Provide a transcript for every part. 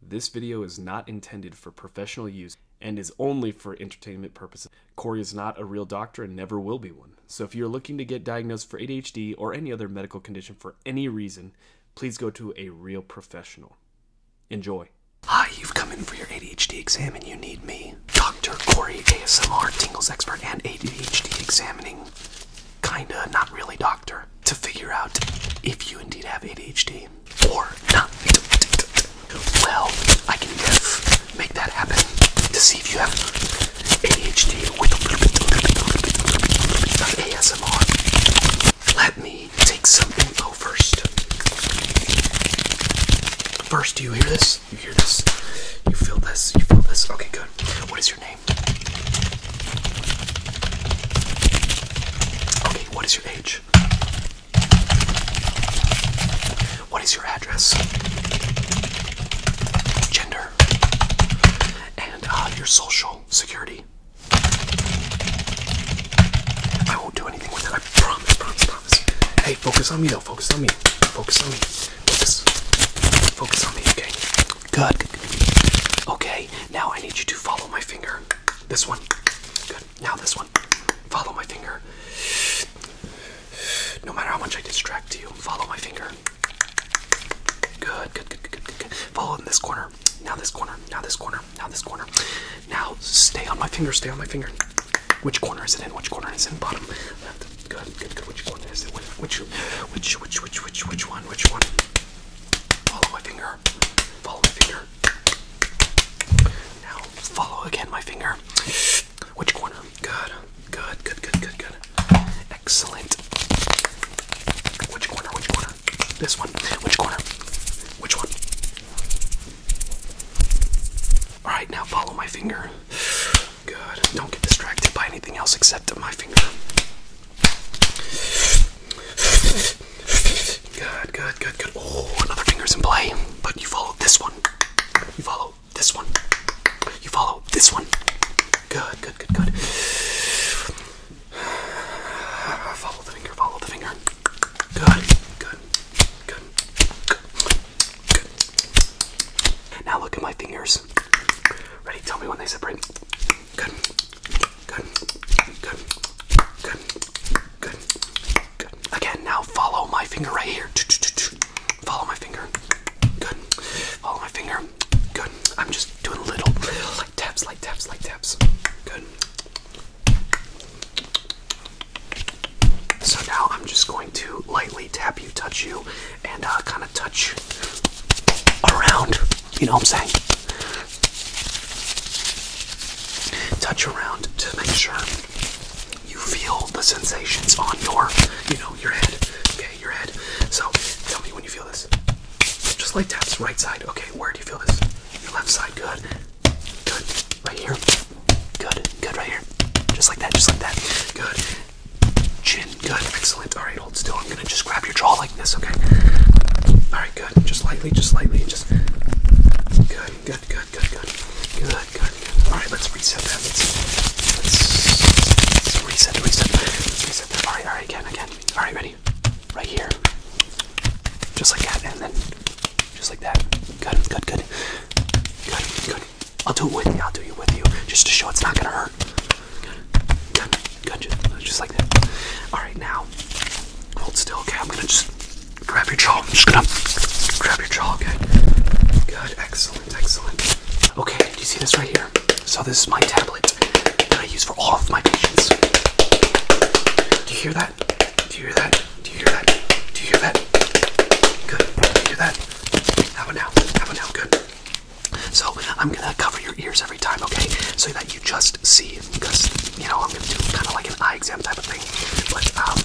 This video is not intended for professional use and is only for entertainment purposes. Corey is not a real doctor and never will be one. So if you're looking to get diagnosed for ADHD or any other medical condition for any reason, please go to a real professional. Enjoy. Hi, you've come in for your ADHD exam and you need me. Dr. Corey, ASMR, Tingles Expert, and ADHD examining. Kinda, not really doctor. To figure out if you indeed have ADHD or not. Well, I can just make that happen to see if you have ADHD with a little bit, little bit, little bit, little bit, of ASMR. Let me take something info first. First, do you hear this? You hear this? You feel this? You feel this? Okay, good. What is your name? Okay, what is your age? What is your address? Gender? And uh, your social security? I won't do anything with it. I promise, promise, promise. Hey, focus on me Don't Focus on me. Focus on me. Focus. Focus on me. Okay. Good. Okay. Now I need you to follow my finger. This one. Good. Now this one. Follow my finger. No matter how much I distract you, follow my finger. Good, good, good, good, good, good. Follow in this corner. Now this corner. Now this corner. Now this corner. Now stay on my finger. Stay on my finger. Which corner is it in? Which corner is it in? Bottom left. Good, good, good. Which corner is it? Which, which, which, which, which, which, which one? Which one? Follow my finger. Follow my finger. Now follow again my finger. Which corner? Good. Good, good, good, good, good. Excellent. Which corner? Which corner? This one. Which corner? Which one? Alright, now follow my finger. Good. Don't get distracted by anything else except my finger. Good, good, good, good. Oh, another finger's in play. But you follow this one. You follow this one. You follow this one. Good, good, good, good. Follow the finger, follow the finger. Good, good, good, good. Now look at my fingers. Ready? Tell me when they separate. Good. Good. Good. Good. Good. Good. Again, now follow my finger right here. Follow my finger. Good. Follow my finger. Good. I'm just doing little like taps, light taps, light taps. Good. So now I'm just going to lightly tap you, touch you, and uh, kind of touch around you know what I'm saying? Touch around to make sure you feel the sensations on your, you know, your head. Okay, your head. So tell me when you feel this. Just like taps, right side. Okay, where do you feel this? Your left side, good. Good. Right here. Good. Good right here. Just like that, just like that. Good. Chin, good, excellent. Alright still. I'm gonna just grab your jaw like this, okay? Alright, good. Just lightly, just lightly, just good, good, good, good, good. Good, Alright, let's reset that. reset, reset, reset Alright, alright, again, again. Alright, ready? Right here. Just like that, and then just like that. Good, good, good. Good, good. I'll do it with you, I'll do it with you. Just to show it's not gonna hurt. Done. Gotcha. Just like that. Alright, now, hold still, okay? I'm gonna just grab your jaw. I'm just gonna grab your jaw, okay? Good. Excellent. Excellent. Okay, do you see this right here? So, this is my tablet that I use for all of my patients. Do you hear that? Do you hear that? Do you hear that? Do you hear that? Good. Do you hear that? How about now? How about now? Good. So I'm gonna cover your ears every time, okay? So that you just see, because you know I'm gonna do kind of like an eye exam type of thing. But um,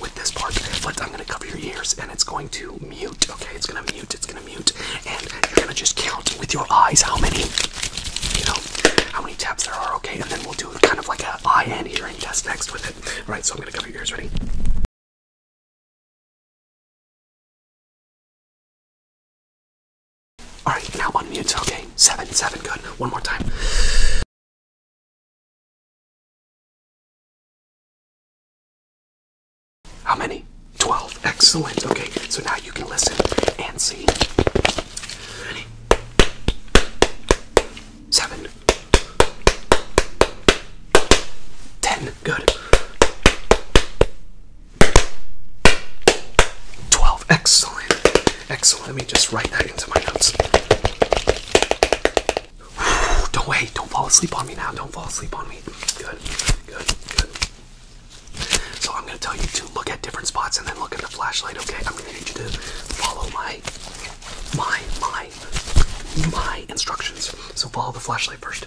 with this part, but I'm gonna cover your ears, and it's going to mute. Okay, it's gonna mute. It's gonna mute, and you're gonna just count with your eyes how many, you know, how many taps there are. Okay, and then we'll do kind of like an eye and hearing test next with it. All right, so I'm gonna cover your ears. Ready? Alright, now unmute. Okay, seven, seven, good. One more time. How many? 12. Excellent. Okay, so now you can listen and see. Ready? Seven. Ten. Good. 12. Excellent. Excellent. Let me just write that into my notes. Don't wait. Don't fall asleep on me now. Don't fall asleep on me. Good. Good. Good. So I'm going to tell you to look at different spots and then look at the flashlight, okay? I'm going to need you to follow my, my, my, my instructions. So follow the flashlight first.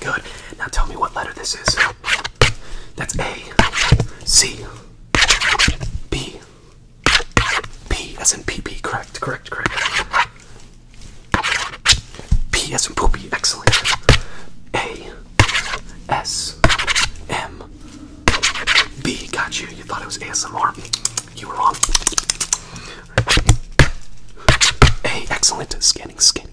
Good. Now tell me what letter this is. That's A, C, B, P as in P. Correct, correct, correct. P as in poopy. Excellent. A, S, M, B. Got you. You thought it was ASMR. You were wrong. A, excellent. Scanning, scanning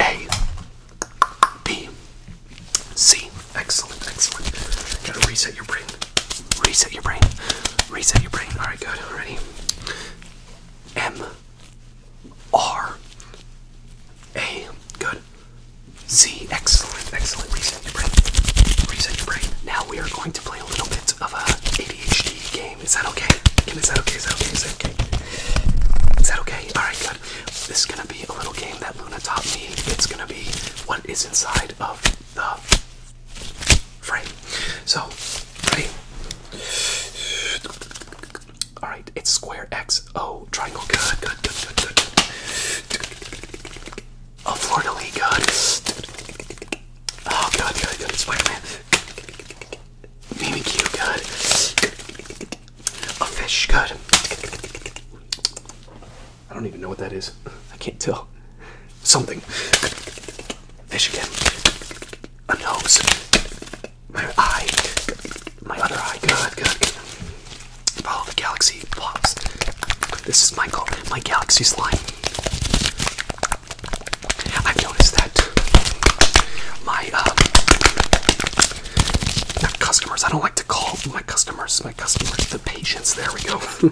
A B C. Excellent, excellent. Gotta reset your brain. Reset your brain. Reset your brain. Alright, good. Ready? M R A. Good. Z. Excellent, excellent. Reset your brain. Reset your brain. Now we are going to play a little bit of a ADHD game. Is that okay? Is that okay? Is that okay? Is that okay? Is that okay? Alright, good. This is gonna be a little game that Luna taught me. It's gonna be what is inside of the frame. So, ready? Alright, it's square X O triangle. Good, good, good, good, good. A Florida League, good. Oh, good, good, good. Spider Man. BBQ, good. A fish, good. I don't even know what that is. I can't tell. Something. Fish again. A nose. My eye. My other eye. Good, good. Follow the galaxy blobs. This is my, my galaxy slime. I've noticed that my uh, not customers, I don't like to call my customers, my customers, the patients, there we go.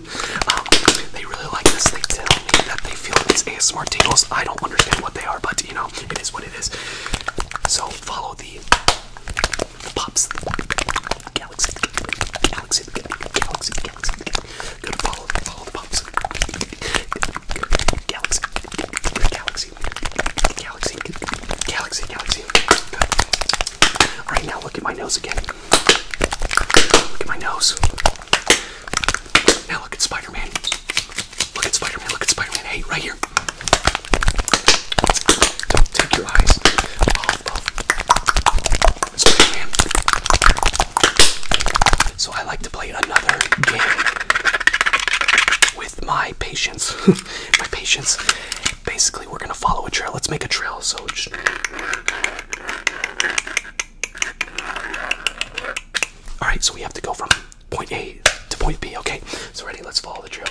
um, they really like this. They tell me that they feel these ASMR tingles. I don't understand what they are, but you know, it is what it is. So follow the, the pops, the galaxy, the galaxy, the galaxy, the galaxy. Gotta follow, follow the pops. Galaxy, galaxy, galaxy, galaxy, galaxy, galaxy. Good. All right, now look at my nose again. Look at my nose. Now look at Spider-Man. Look at Spider-Man. Look at Spider-Man. Hey, right here. Don't take your eyes off of Spider-Man. So I like to play another game with my patience. my patience. Basically, we're gonna follow a trail. Let's make a trail. So just all right, so we have to go from point A to point B. Okay, so ready? Let's follow the trail.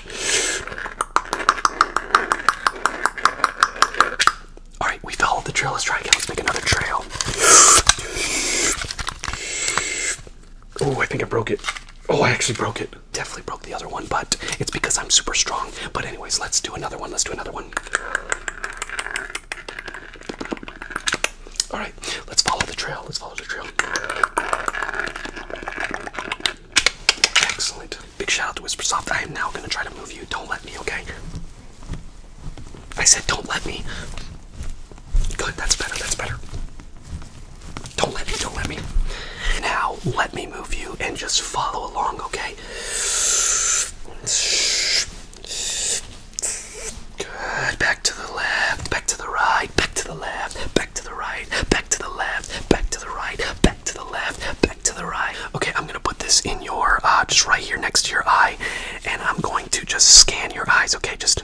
All right, we followed the trail. Let's try again. Let's make another trail. Oh, I think I broke it. Oh, I actually broke it. Definitely broke the other one, but it's because I'm super strong. But, anyways, let's do another one. Let's do another one. All right, let's follow the trail. Let's follow the trail. Excellent. Big shout out to WhisperSoft. I am now going to try to move you. Don't let me, okay? I said, don't let me. Good, that's better, that's better. Don't let me, don't let me. Now, let me move you and just follow along, okay? Good, back to the left, back to the right, back to the left, back to the right, back to the left, back to the right, back to the left, back to the right. Okay, I'm gonna put this in your, uh, just right here next to your eye, and I'm going to just scan your eyes, okay? Just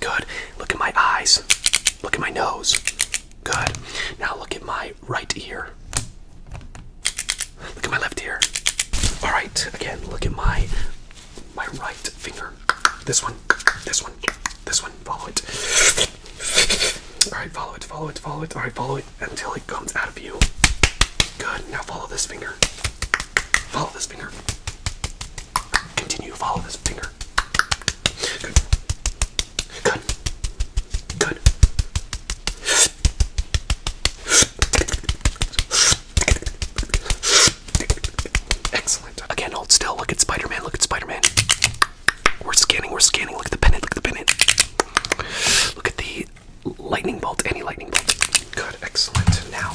Good. Look at my eyes. Look at my nose. Good. Now look at my right ear. Look at my left ear. All right. Again, look at my my right finger. This one. This one. This one. Follow it. All right. Follow it. Follow it. Follow it. All right. Follow it until it comes out of you. Good. Now follow this finger. Follow this finger. Continue. Follow this finger. Good. Good. Good. Excellent. Again, hold still. Look at Spider Man. Look at Spider Man. We're scanning. We're scanning. Look at the pennant. Look at the pennant. Look at the lightning bolt. Any lightning bolt. Good. Excellent. Now,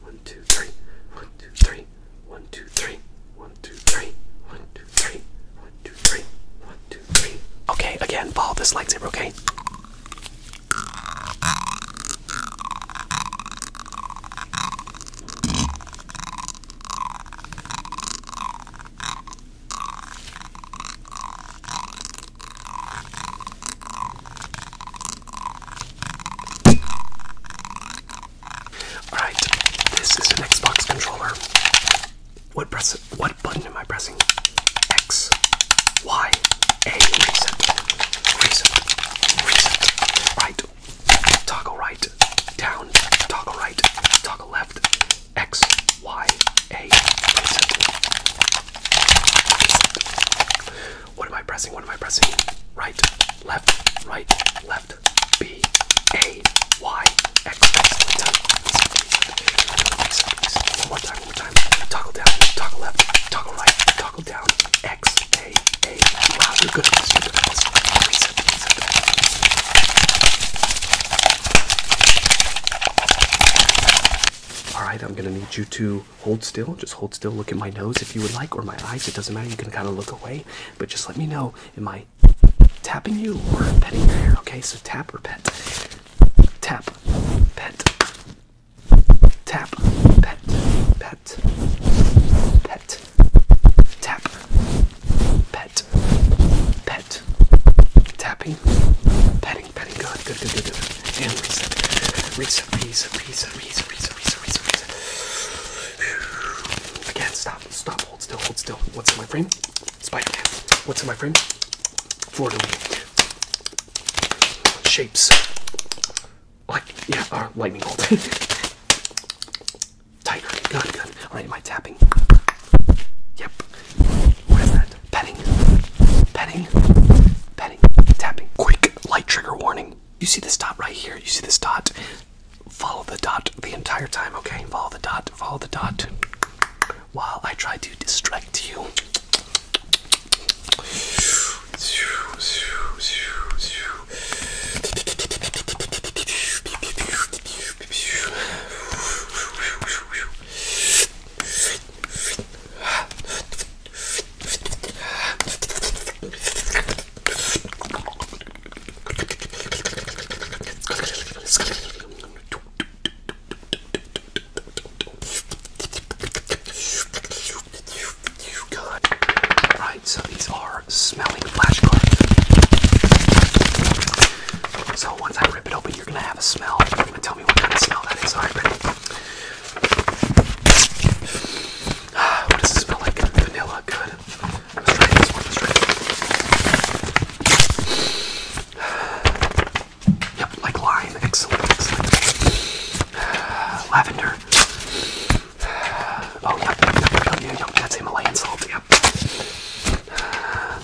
One, two, three. One, two, three. One, two, three. One, two, three. One, two, three. One, two, three. One, two, three. Okay, again, follow this lightsaber, okay? Alright, this is an Xbox controller. What press what button am I pressing? X, Y, A, reset, reset, reset, right, toggle right, down, toggle right, toggle left, X, Y, A, reset. What am I pressing? What am I pressing? Right, left, right, left. B, A, Y, X, X, time. One more time, one more time. Toggle down, toggle left, toggle right, toggle down. X, A, A. Wow, you're good at this, you're good at this. Reset, reset. All right, I'm gonna need you to hold still. Just hold still. Look at my nose if you would like, or my eyes. It doesn't matter. You can kind of look away, but just let me know. Am I tapping you or petting you? Okay, so tap or pet. Tap, pet. Tap, pet, pet, pet. Tap, pet, pet. Tapping, petting petting, petting. Good, good, good, good, good. And reset, reset, reset, reset, reset, reset, reset, reset, reset. Again, stop, stop, hold still, hold still. What's in my frame? Spider-Man. What's in my frame? Florida. Shapes. Like, yeah, uh, lightning bolt. Tiger. Good, good. All right, am I tapping? Yep. What is that? Petting, petting, petting, tapping. Quick light trigger warning. You see this dot right here? You see this dot? Follow the dot the entire time, okay? Follow the dot, follow the dot while I try to distract you. Right, so these are smelling flashcards. So once I rip it open, you're gonna have a smell. you tell me what kind of smell that is. Alright, ready? Ah, what does it smell like? Vanilla, good. Let's try this one, let's try this Yep, like lime, excellent, excellent. Uh, lavender. Ah, oh, yep, yep, yep, yep, yep, that's Himalayan salt, yep. Uh,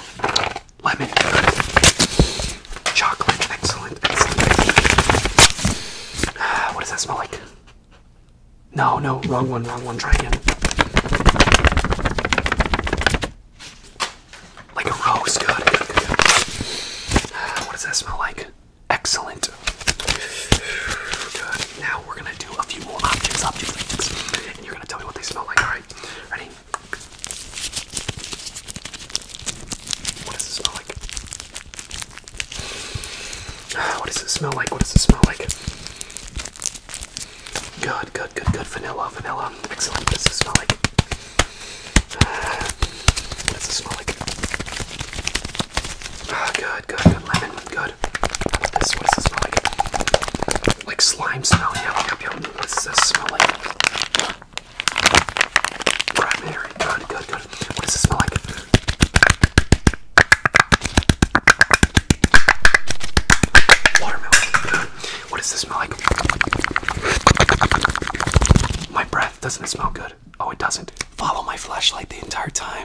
lemon, good. Chocolate, excellent, excellent. Ah, what does that smell like? No, no, wrong one, wrong one. Try again. Like a rose, good. good, good, ah, what does that smell like? Excellent. Good. Now we're gonna do a few more objects, objects, objects, and you're gonna tell me what they smell like. All right, ready? What does it smell like? What does it smell like? What does it smell like? Good, good, good, good. Vanilla, vanilla. Excellent. What does it smell like? What does it smell like? Ah, good, good, good. Lemon, good. What does, what smell like? Like slime smell. Yep, yep, yep. What does this smell like? Primary. Good, good, good. What does it smell like? Watermelon. What does this smell like? My breath. Doesn't it smell good? Oh, it doesn't. Follow my flashlight the entire time.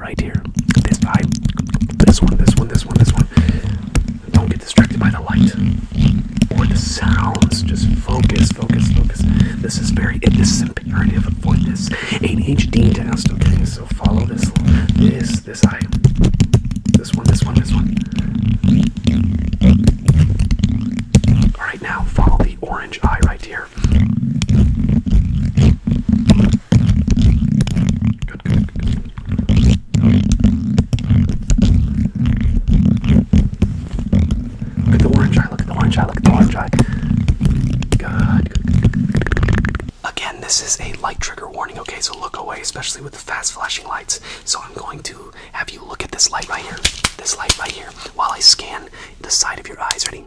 right here. This eye. This one, this one, this one, this one. Don't get distracted by the light or the sounds. Just focus, focus, focus. This is very, this is imperative avoid this ADHD test, okay? So follow this, this, this eye. This one, this one, this one. Alright, now follow the orange eye right here. Look at the orange eye, look at the orange eye, look at the orange eye. good. Again, this is a light trigger warning, okay? So look away, especially with the fast flashing lights. So I'm going to have you look at this light right here, this light right here, while I scan the side of your eyes. Ready?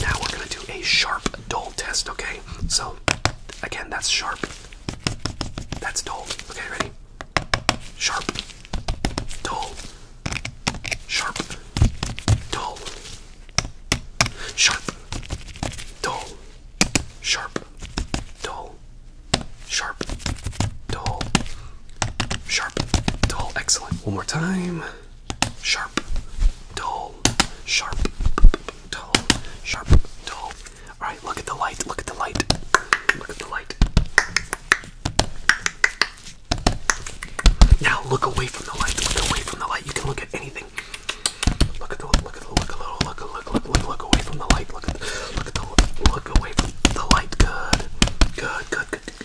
Now we're gonna do a sharp dull test, okay? So again, that's sharp. That's dull. Okay, ready? Sharp, dull, sharp, dull, sharp, dull, sharp, dull, sharp, dull, sharp, dull. Excellent. One more time sharp, dull, sharp, dull, sharp, dull. Alright, look at the light, look at the light, look at the light. Now look away from the light, look away from the light. You can look at anything. Look at the look at the look a little look look look look look away from the light. Look at the, look at the look away from the light. Good. Good, good, good,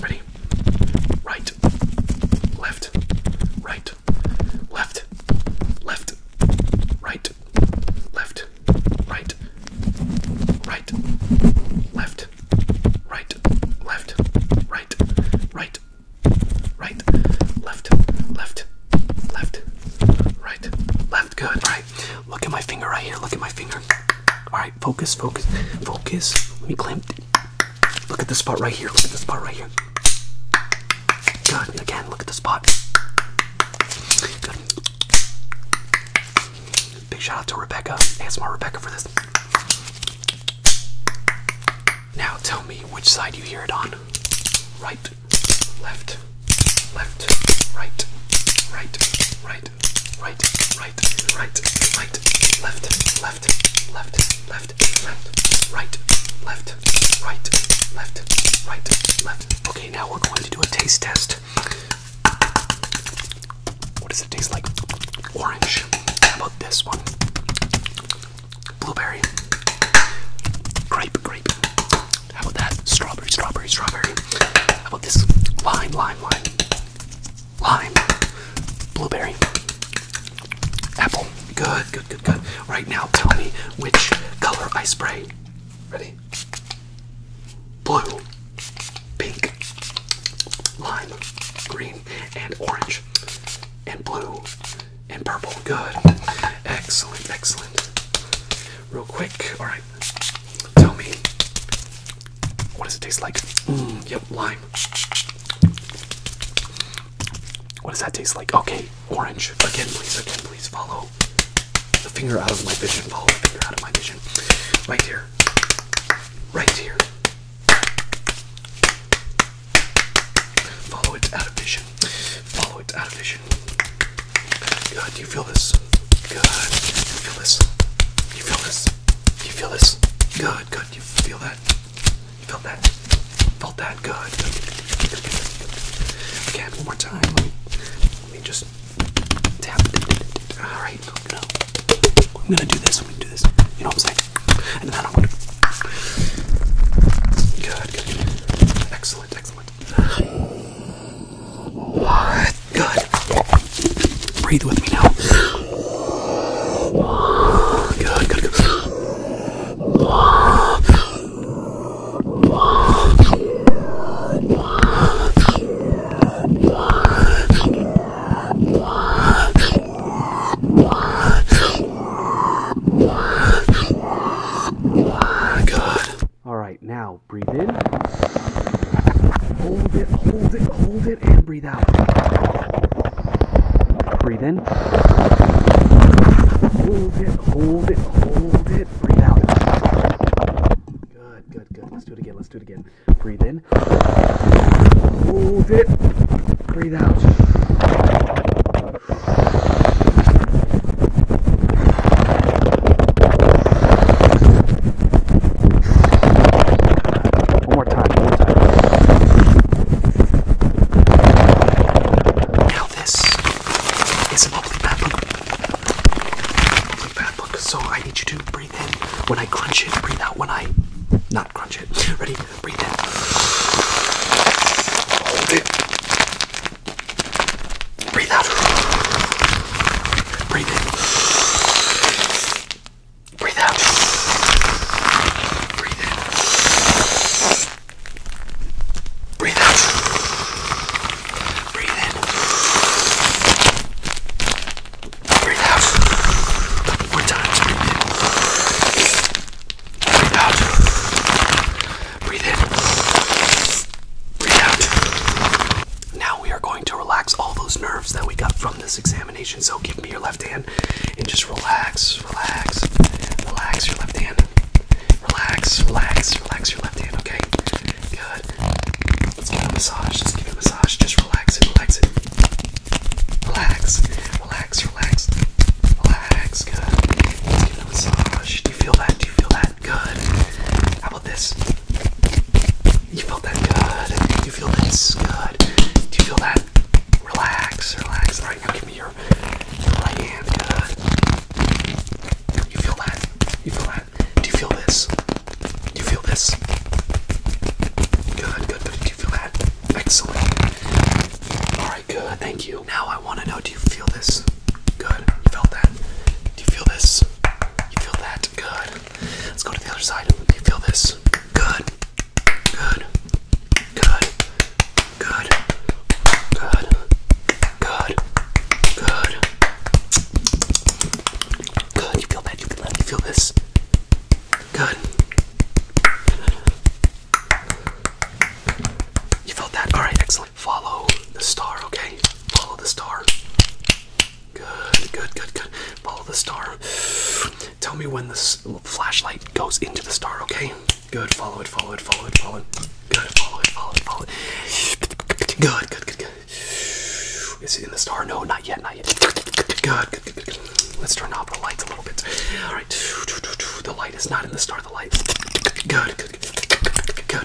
Ready? Right, left, right, left, left, right, left, right, right, left, right, left, right, right, right, left, left, left, right, left. Good. All right. Look at my finger right here. Look at my finger. All right focus, focus, focus. Let me clamp. Look at the spot right here. Look at the spot right here. Again, look at the spot. Big shout out to Rebecca. my Rebecca for this. Now tell me which side you hear it on. Right, left, left, right, right, right, right, right, right, right, right, left, left, left, left, left, right, left, right, left, right, left. Okay, now we're going to do a taste test. What does it taste like? Orange. How about this one? Blueberry. Grape, grape. How about that? Strawberry, strawberry, strawberry. How about this? Lime, lime, lime. Lime. Blueberry. Apple. Good, good, good, good. Right now, tell me which color I spray. Ready? Blue, pink, lime, green, and orange, and blue, and purple. Good. Excellent, excellent real quick. All right, tell me, what does it taste like? Mm, yep, lime. What does that taste like? Okay, orange. Again, please, again, please follow the finger out of my vision. Follow the finger out of my vision. Right here. Right here. Follow it out of vision. Follow it out of vision. God, do you feel this? God, you feel this? You feel this? You feel this? God, God, you feel that? You felt that? Felt that? God. Again, one more time. Let me, let me just tap. All right. No. I'm gonna do this. I'm gonna do this. You know what I'm saying? And then I'm gonna. Good. Good. Excellent. Excellent. Good. Breathe with me now. Good, good, good. Good. All right, now breathe in. Hold it, hold it, hold it, and breathe out. Breathe in. Hold it, hold it, hold it. Breathe out. Good, good, good. Let's do it again. Let's do it again. Breathe in. Hold it. Breathe out. One more time, one more time. Now this is a ugly bad book. Ugly bad book. So I need you to breathe in when I crunch it, breathe out when I not crunch it. Ready? Breathe in. Hold it. Breathe out. Breathe in. Breathe out. Breathe in. Breathe out. Breathe in. Breathe out. More times. Breathe in. Breathe out. Breathe in. Breathe out. Now we are going to relax all those nerves that we got from this examination. So give me your left hand and just relax, relax, relax your left hand. Relax, relax, relax your left hand, okay? Good. Let's get a massage. Just us give it a massage. Just relax relax Relax, relax, relax. Relax, good. Let's give a massage. Do you feel that? Do you feel that? that? Good. How about this? You felt that good. You feel this good. Do you feel that? Relax, relax. Alright, now give me your, your right hand. Good. You feel that? You feel that? Do you feel this? Do you feel this? Good, good, good. Do you feel that? Excellent. Alright, good, thank you. Now I want to know, do you feel this? Good. You felt that? Do you feel this? You feel that? Good. Let's go to the other side. Do you feel this? Good. Good. Good. Good. Good. Good. Good. Good. You feel that? You feel that? You feel this? Good. You felt that? Alright, excellent. Follow the star, okay? Follow the star. Good, good, good, good. Follow the star. Tell me when this flashlight goes into the star, okay? Good, follow it, follow it, follow it, follow it. Good, follow it, follow it, follow it. Good, good, good, good. Is it in the star? No, not yet, not yet. Good, good, good, good, good. Let's turn off the lights a little bit. Alright. The light is not in the star, the light. Good, good, good. Good,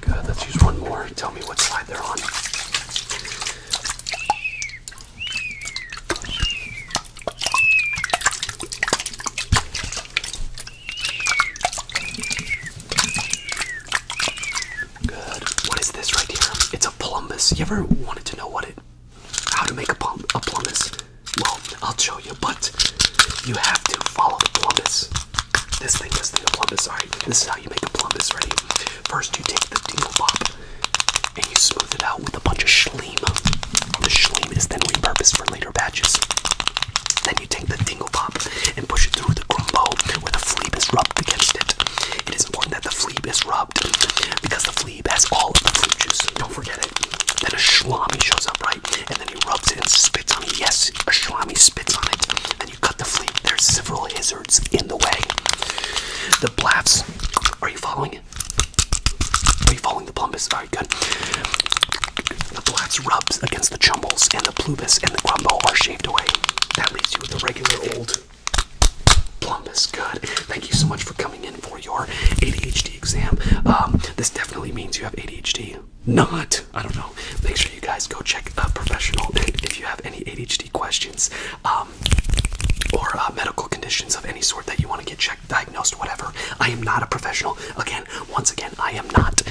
Good, let's use one more. Tell me what slide they're on. Good. What is this right here? It's a plumbus. You ever wanted to know what it how to make a plum a plumbus? Well, I'll show you, but you have to follow the plumbus. This thing, is the a plumbus. Alright, this is how you make a plumbus. Ready? First, you take the dingle pop, and you smooth it out with a bunch of schleem. The schleem is then repurposed for later batches. Then you take the dingle pop and push it through the grumble where the fleeb is rubbed against it. It is important that the fleeb is rubbed because the fleeb has all of the fleeb juice. Don't forget it. Then a shlami shows up, right? And then he rubs it and spits on it. Yes, a shlami spits on it. Then you cut the fleeb. There's several lizards in the way. The blaffs. Are you following it? Are you following the plumbus? Very good. The blast rubs against the chumbles, and the plubus and the grumble are shaved away. That leaves you with a regular old plumbus. Good. Thank you so much for coming in for your ADHD exam. Um, this definitely means you have ADHD. Not. I don't know. Make sure you guys go check a professional if you have any ADHD questions um, or uh, medical conditions of any sort that you want to get checked diagnosed, whatever. I am not a professional. Again, once again, I am not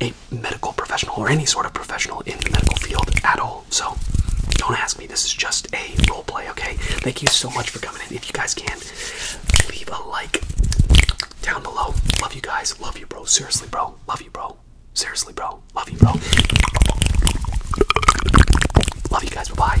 a medical professional or any sort of professional in the medical field at all. So don't ask me. This is just a role play, okay? Thank you so much for coming in. If you guys can, leave a like down below. Love you guys. Love you, bro. Seriously, bro. Love you, bro. Seriously, bro. Love you, bro. Love you guys. bye.